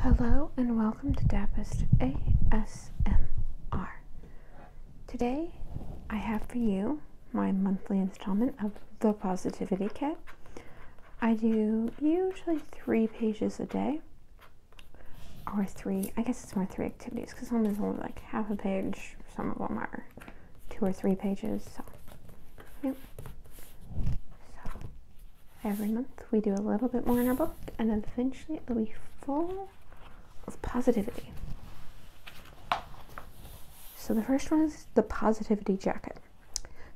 Hello and welcome to Dapist ASMR. Today I have for you my monthly installment of The Positivity Kit. I do usually three pages a day, or three, I guess it's more three activities because some of is only like half a page, some of them are two or three pages, so yep. So Every month we do a little bit more in our book, and eventually it'll be full of positivity. So the first one is the positivity jacket.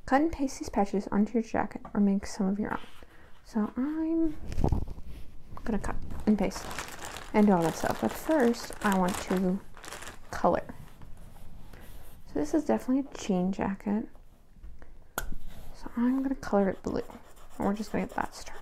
Cut and paste these patches onto your jacket or make some of your own. So I'm gonna cut and paste and do all that stuff. But first, I want to color. So this is definitely a jean jacket. So I'm going to color it blue. And we're just going to get that started.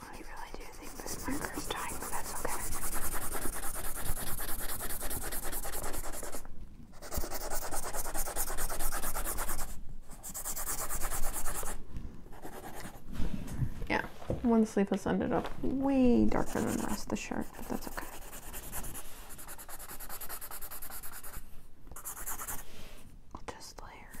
I really do think this marker's dying, but that's okay. Yeah, one has ended up way darker than the rest of the shirt, but that's okay. just layer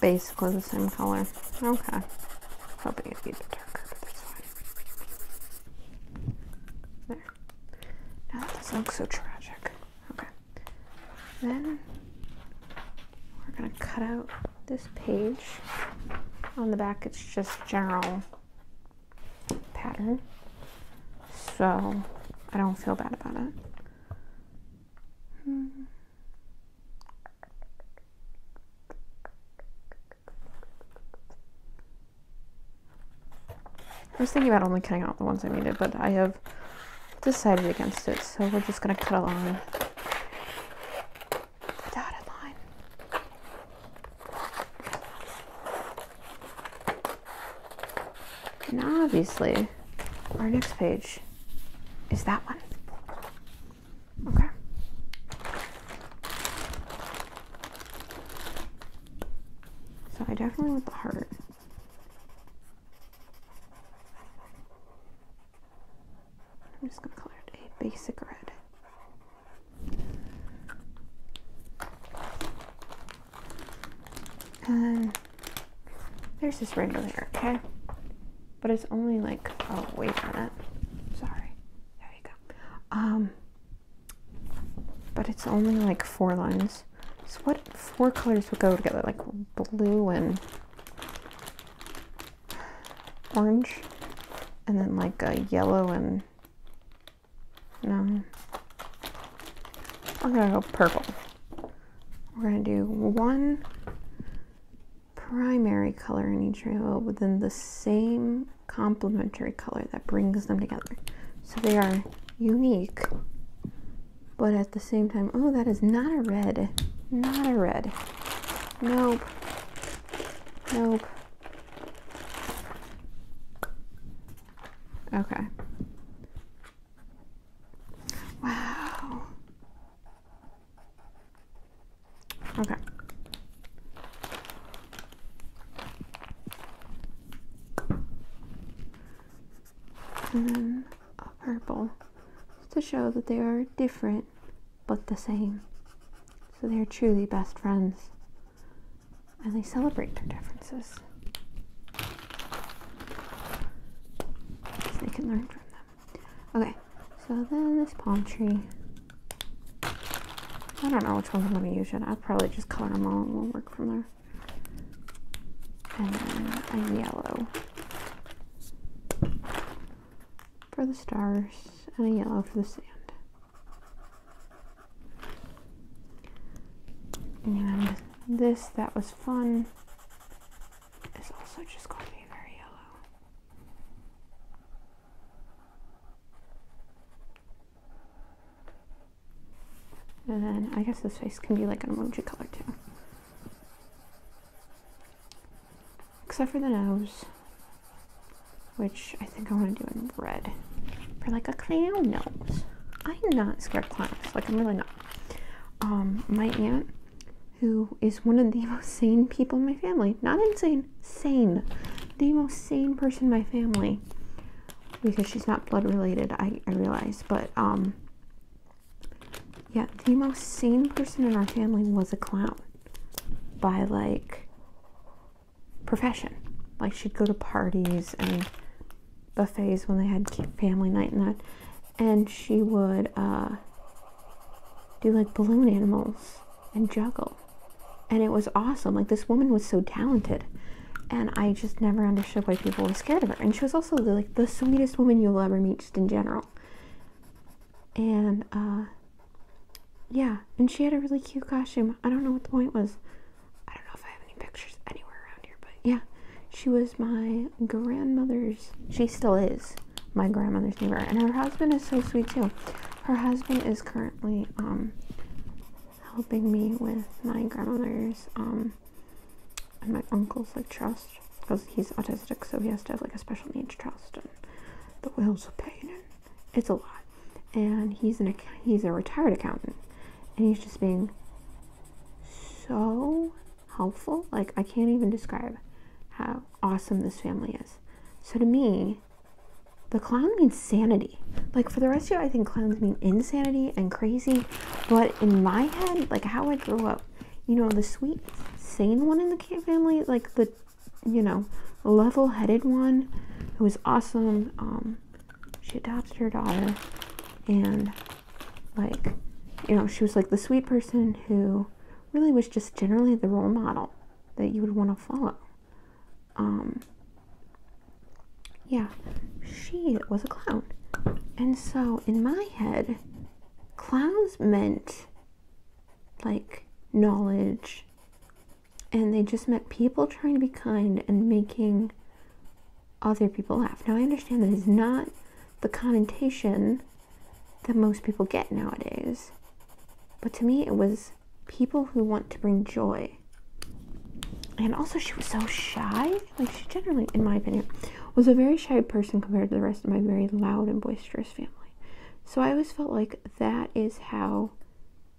Basically the same color. Okay. Hoping it'd be a bit darker, but that's fine. There. Now that doesn't look so tragic. Okay. Then we're gonna cut out this page. On the back it's just general pattern. So I don't feel bad about it. I was thinking about only cutting out the ones I needed, but I have decided against it, so we're just going to cut along the dotted line. And obviously, our next page is that one. Okay. So I definitely want the heart. I'm just going to color it a basic red. And there's this rainbow here, okay? But it's only like, oh, wait on minute. Sorry. There you go. Um, but it's only like four lines. So what four colors would go together? Like blue and orange, and then like a yellow and no. I'm gonna go purple. We're going to do one primary color in each rainbow within the same complementary color that brings them together. So they are unique, but at the same time, oh, that is not a red, not a red. Nope, nope. Okay. Wow. Okay. And then a purple to show that they are different but the same. So they are truly best friends and they celebrate their differences. they can learn from Okay, so then this palm tree. I don't know which ones I'm going to use yet. I'll probably just color them all and we'll work from there. And a yellow for the stars and a yellow for the sand. And this, that was fun. It's also just going to be very yellow. And then I guess this face can be like an emoji color too. Except for the nose, which I think I want to do in red. For like a clown nose. I'm not scared of clowns, like I'm really not. Um, my aunt who is one of the most sane people in my family. Not insane, sane. The most sane person in my family. Because she's not blood related, I, realize. But, um, yeah, the most sane person in our family was a clown by like profession. Like she'd go to parties and buffets when they had family night and that and she would uh, do like balloon animals and juggle. And it was awesome. Like this woman was so talented. And I just never understood why people were scared of her. And she was also like the sweetest woman you'll ever meet just in general. And uh, yeah, and she had a really cute costume. I don't know what the point was. I don't know if I have any pictures anywhere around but yeah, she was my grandmother's. She still is my grandmother's neighbor, and her husband is so sweet too. Her husband is currently um, helping me with my grandmother's um, and my uncle's like trust because he's autistic, so he has to have like a special needs trust, and the wills are paying And it's a lot, and he's an he's a retired accountant, and he's just being so helpful. Like, I can't even describe how awesome this family is. So, to me, the clown means sanity. Like, for the rest of you, I think clowns mean insanity and crazy. But in my head, like, how I grew up, you know, the sweet, sane one in the family, like the, you know, level headed one who was awesome. Um, she adopted her daughter and like you know she was like the sweet person who really was just generally the role model that you would want to follow um yeah she was a clown and so in my head clowns meant like knowledge and they just meant people trying to be kind and making other people laugh Now, I understand that is not the connotation that most people get nowadays, but to me, it was people who want to bring joy. And also, she was so shy. Like, she generally, in my opinion, was a very shy person compared to the rest of my very loud and boisterous family. So I always felt like that is how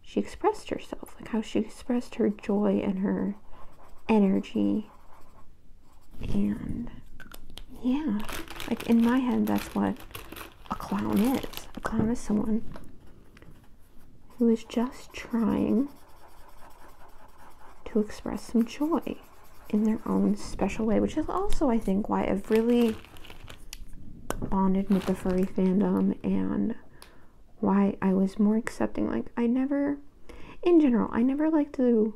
she expressed herself, like how she expressed her joy and her energy and yeah, like in my head, that's what a clown is. A clown is someone who is just trying to express some joy in their own special way, which is also, I think, why I've really bonded with the furry fandom and why I was more accepting. Like, I never, in general, I never liked to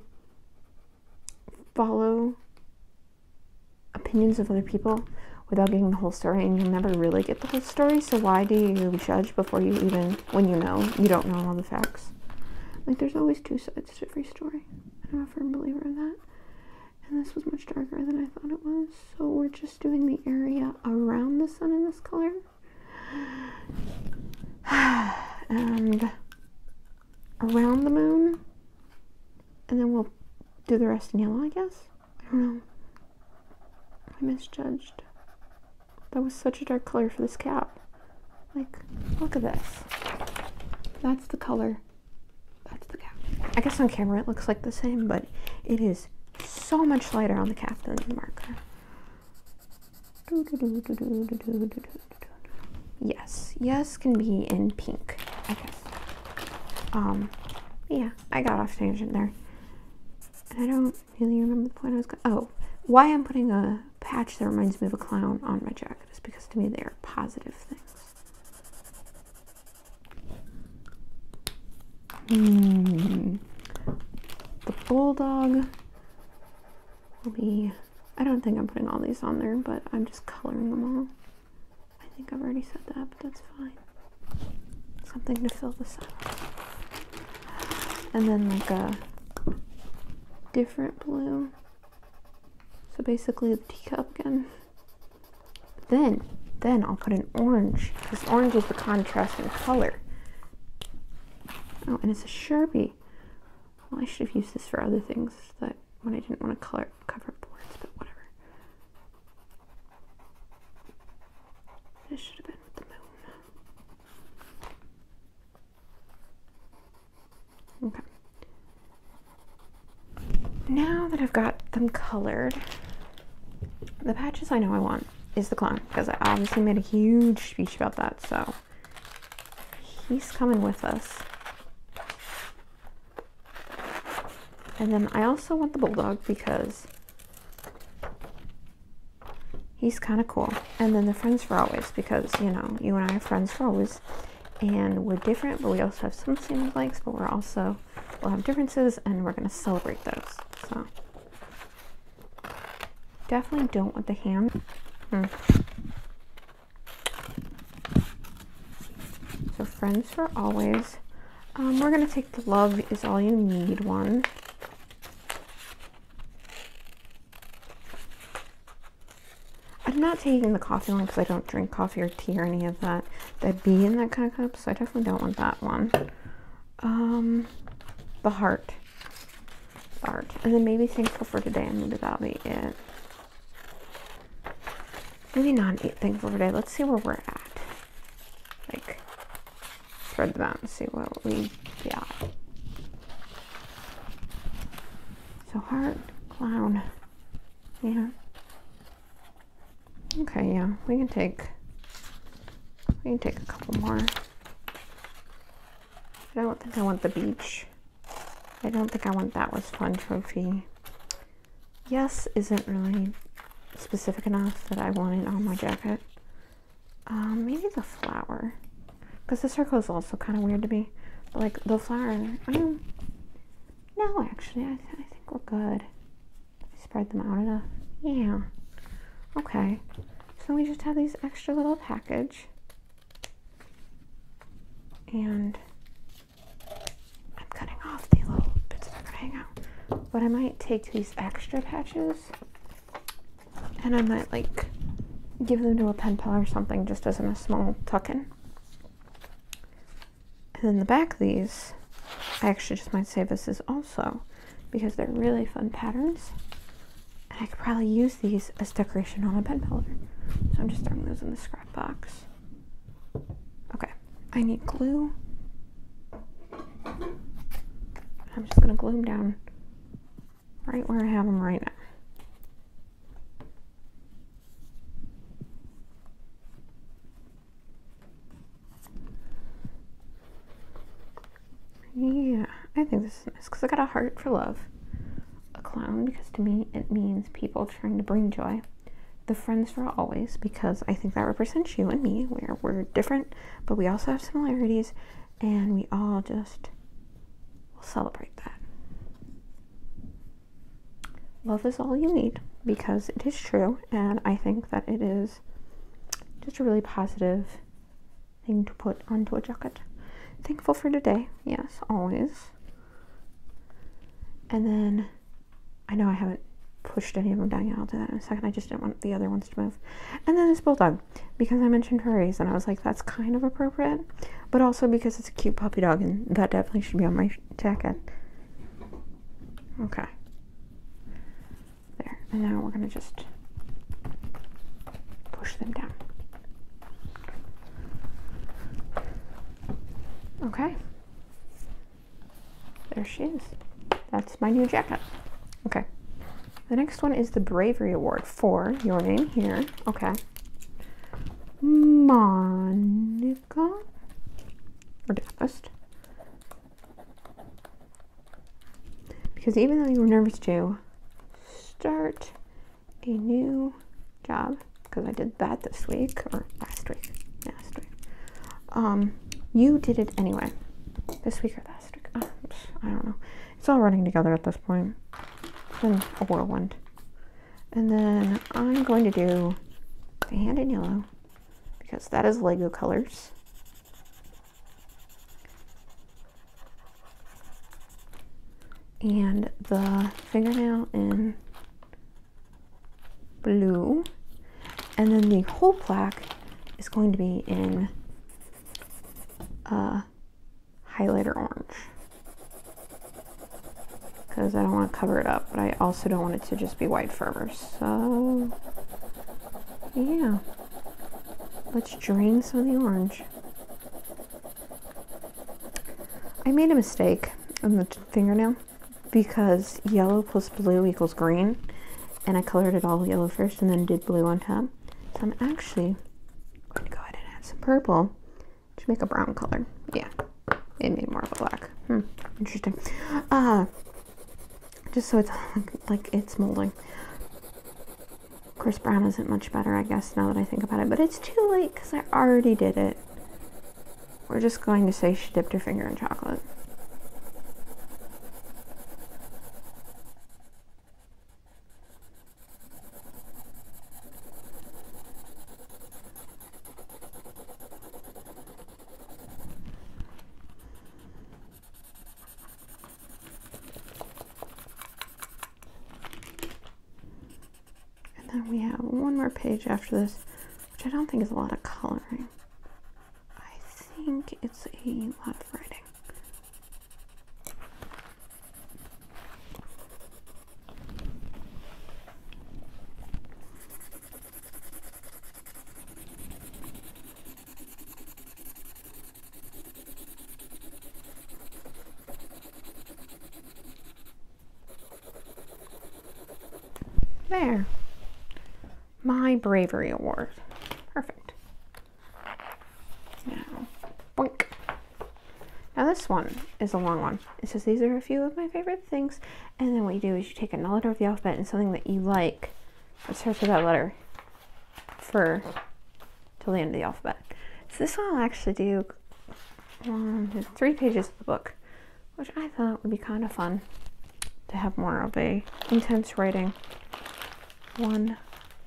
follow opinions of other people without getting the whole story and you'll never really get the whole story so why do you judge before you even when you know you don't know all the facts like there's always two sides to every story i'm a firm believer in that and this was much darker than i thought it was so we're just doing the area around the sun in this color and around the moon. And then we'll do the rest in yellow, I guess. I don't know. I misjudged. That was such a dark color for this cap. Like, look at this. That's the color. That's the cap. I guess on camera it looks like the same, but it is so much lighter on the cap than the marker. Yes, yes can be in pink, I guess. Um, yeah, I got off tangent there. I don't really remember the point I was going. Oh, why I'm putting a patch that reminds me of a clown on my jacket is because to me they are positive things. Hmm. The bulldog will be, I don't think I'm putting all these on there, but I'm just coloring them all. I think I've already said that, but that's fine. Something to fill this up. And then like a different blue. So basically the teacup again. Then, then I'll put an orange, because orange is the contrasting color. Oh, and it's a Sherby. Well, I should have used this for other things that when I didn't want to color cover boards, but whatever. This should have been with the moon. Okay. Now that I've got them colored, the patches I know I want is the clown because I obviously made a huge speech about that, so he's coming with us. And then I also want the Bulldog because he's kind of cool. And then the Friends for Always because, you know, you and I are friends for always. And we're different, but we also have some same likes, but we're also, we'll have differences and we're going to celebrate those. So Definitely don't want the ham. Hmm. So friends for always. Um, we're going to take the love is all you need one. I'm not taking the coffee one because I don't drink coffee or tea or any of that. That would be in that kind of cup, so I definitely don't want that one. Um, the heart art. And then maybe thankful for today, maybe that'll be it. Maybe not thankful for today. Let's see where we're at. Like, spread them out and see what we got. So, heart, clown. Yeah. Okay, yeah. We can take, we can take a couple more. I don't think I want the beach. I don't think I want that was fun trophy. Yes isn't really specific enough that I want it on my jacket. Um, maybe the flower. Because the circle is also kind of weird to me. like the flower, um, no actually, I, think we're good. spread them out enough. Yeah. Okay. So we just have these extra little package. And I'm cutting off the little bits that are going out. But I might take these extra patches and I might like give them to a pen pal or something just as a small tuck And then the back of these, I actually just might save this as also because they're really fun patterns. And I could probably use these as decoration on a bed pillow, So I'm just throwing those in the scrap box. Okay, I need glue. I'm just going to glue them down right where I have them right now. Yeah, I think this is nice because I got a heart for love. A clown because to me it means people trying to bring joy. The friends for always because I think that represents you and me where we're different but we also have similarities and we all just will celebrate that. Love is all you need because it is true and I think that it is just a really positive thing to put onto a jacket. Thankful for today, yes, always. And then I know I haven't pushed any of them down. yet. I'll do that in a second. I just didn't want the other ones to move. And then this bulldog, because I mentioned furries, and I was like, that's kind of appropriate, but also because it's a cute puppy dog, and that definitely should be on my jacket. Okay. There. And now we're going to just push them down. Okay. There she is. That's my new jacket. Okay. The next one is the Bravery Award for your name here. Okay. Monica. Or Daphist. Because even though you were nervous too, start a new job because I did that this week or last week. Last week. Um, you did it anyway. This week or last week. Oh, I don't know. It's all running together at this point. It's been a whirlwind. And then I'm going to do the hand in yellow because that is Lego colors and the fingernail in blue. And then the whole plaque is going to be in uh, highlighter orange. Because I don't want to cover it up, but I also don't want it to just be white forever. So, yeah. Let's drain some of the orange. I made a mistake on the fingernail because yellow plus blue equals green and I colored it all yellow first and then did blue on top. So I'm actually going to go ahead and add some purple to make a brown color. Yeah, it made more of a black. Hmm, interesting. Uh, just so it's like it's molding. Chris Brown isn't much better, I guess, now that I think about it. But it's too late because I already did it. We're just going to say she dipped her finger in chocolate. And then we have one more page after this, which I don't think is a lot of coloring. I think it's a lot of writing. There. My bravery award. Perfect. Now, boink. Now this one is a long one. It says these are a few of my favorite things. And then what you do is you take a letter of the alphabet and something that you like that search for that letter for till the end of the alphabet. So this one I'll actually do three pages of the book, which I thought would be kind of fun to have more of a intense writing one.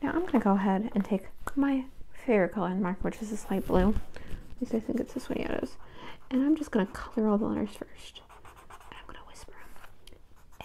Now I'm going to go ahead and take my favorite color and the which is this light blue. At least I think it's this one, yeah it is. And I'm just going to color all the letters first. And I'm going to whisper A,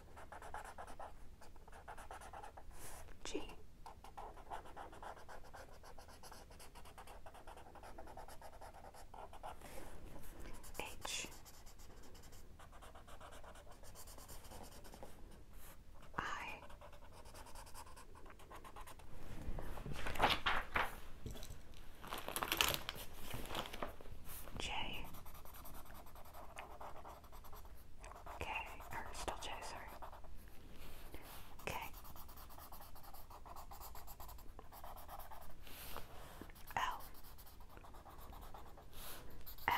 G. H. I. J Okay, or still J, sorry. Okay. L. M.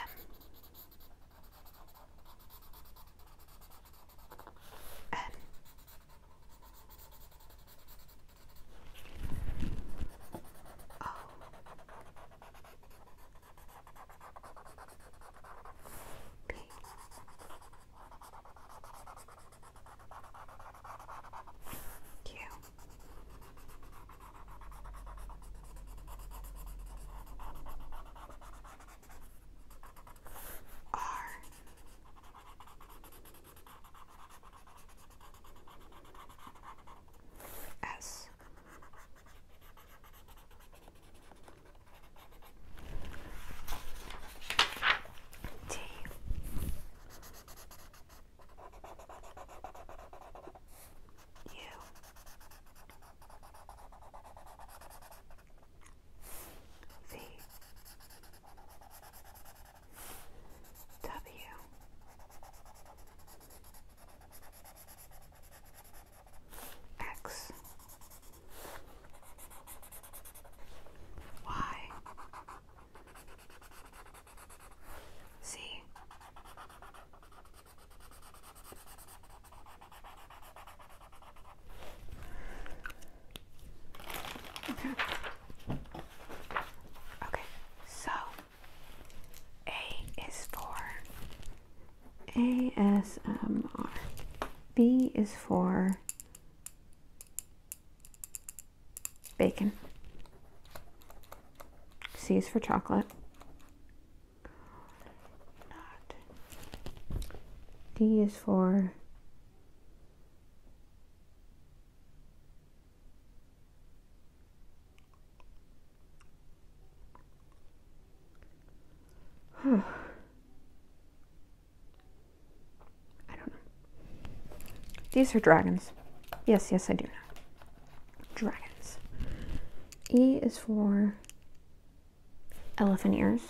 N. O. Okay. Thank you. R S Tea. You. V. W. X Y Z Okay. Okay, so a is for ASMR. B is for bacon. C is for chocolate. D is for I don't know. These are dragons. Yes, yes, I do know. Dragons. E is for elephant ears.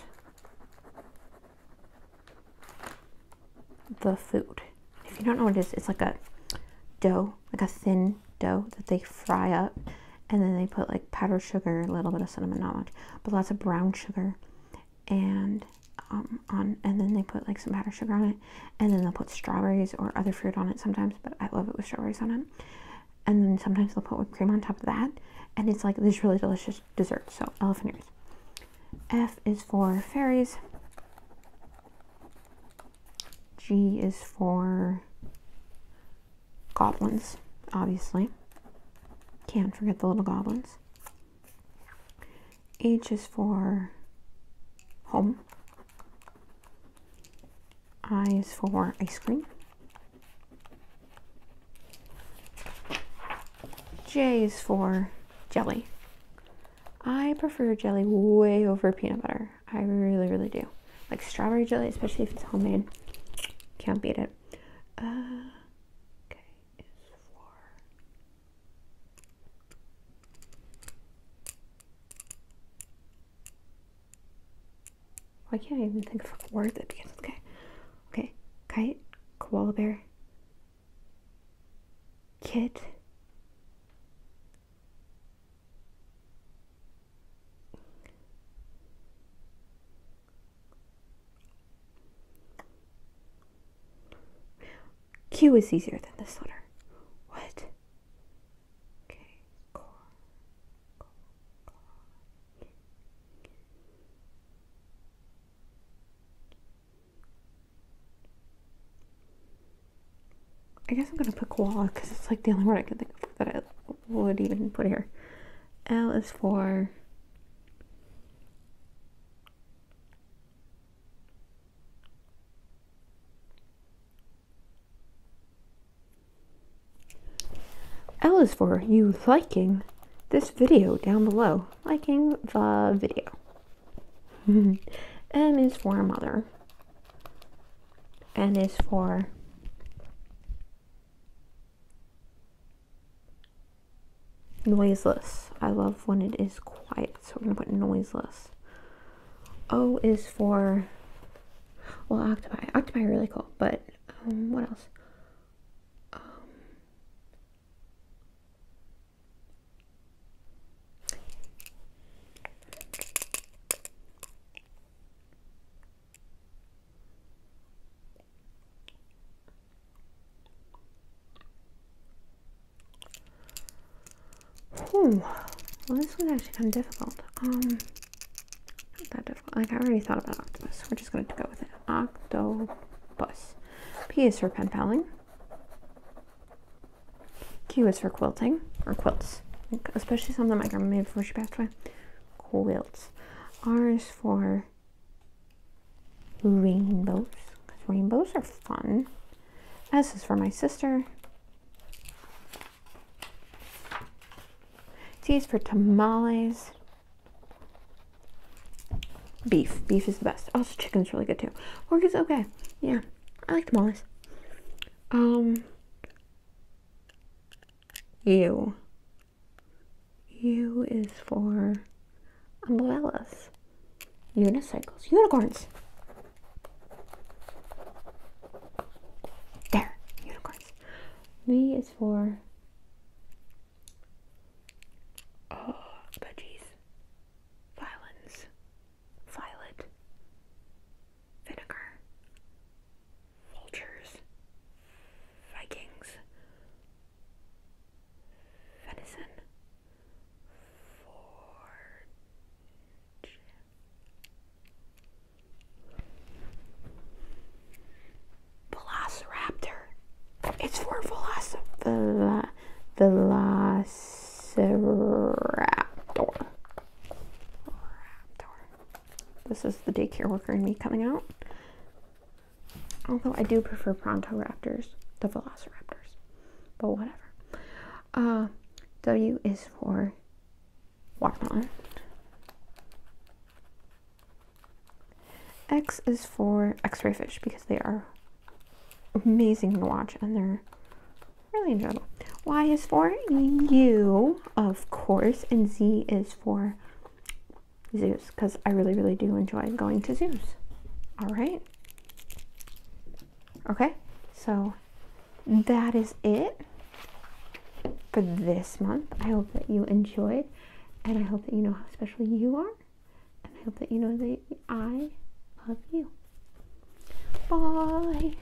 The food. If you don't know what it is, it's like a dough, like a thin dough that they fry up and then they put like powdered sugar, a little bit of cinnamon, not much, but lots of brown sugar, and um, on, and then they put like some powdered sugar on it, and then they'll put strawberries or other fruit on it sometimes. But I love it with strawberries on it, and then sometimes they'll put whipped cream on top of that, and it's like this really delicious dessert. So elephant ears. F is for fairies. G is for goblins, obviously. Can't forget the little goblins. H is for home. I is for ice cream. J is for jelly. I prefer jelly way over peanut butter. I really, really do. Like strawberry jelly, especially if it's homemade. Can't beat it. Uh, okay, is for. Why can't I even think of words? word that begins with Okay, kite, koala bear, kit, Q is easier than this letter. What? I guess I'm gonna put koala because it's like the only word I can think of that I would even put here. L is for L is for you liking this video down below, liking the video. M is for mother. N is for noiseless. I love when it is quiet, so I'm going to put noiseless. O is for, well, octopi. Octopi really cool, but um, what else? Um, Hmm. Well, this one's actually kind of difficult. Um, not that difficult. Like, I already thought about octopus. We're just going to go with it. Octopus. P is for pen paling. Q is for quilting, or quilts especially some that my grandma made before she passed away. Quilts. R is for rainbows, because rainbows are fun. S is for my sister. T is for tamales. Beef. Beef is the best. Also, oh, chicken's really good too. Pork is okay. Yeah, I like tamales. Um, U. U is for umbrellas, unicycles, unicorns. There, unicorns. V is for oh, veggies, violins, violet, vinegar, vultures, Vikings, venison, forge. Velociraptor. It's for Velociraptor. This is the daycare worker and me coming out. Although I do prefer Prontoraptors to Velociraptors, but whatever. Uh, w is for watermelon. X is for x-ray fish because they are amazing to watch and they're really enjoyable. Y is for you, of course, and Z is for zoos because I really, really do enjoy going to zoos. All right. Okay, so that is it for this month. I hope that you enjoyed and I hope that you know how special you are. And I hope that you know that I love you. Bye.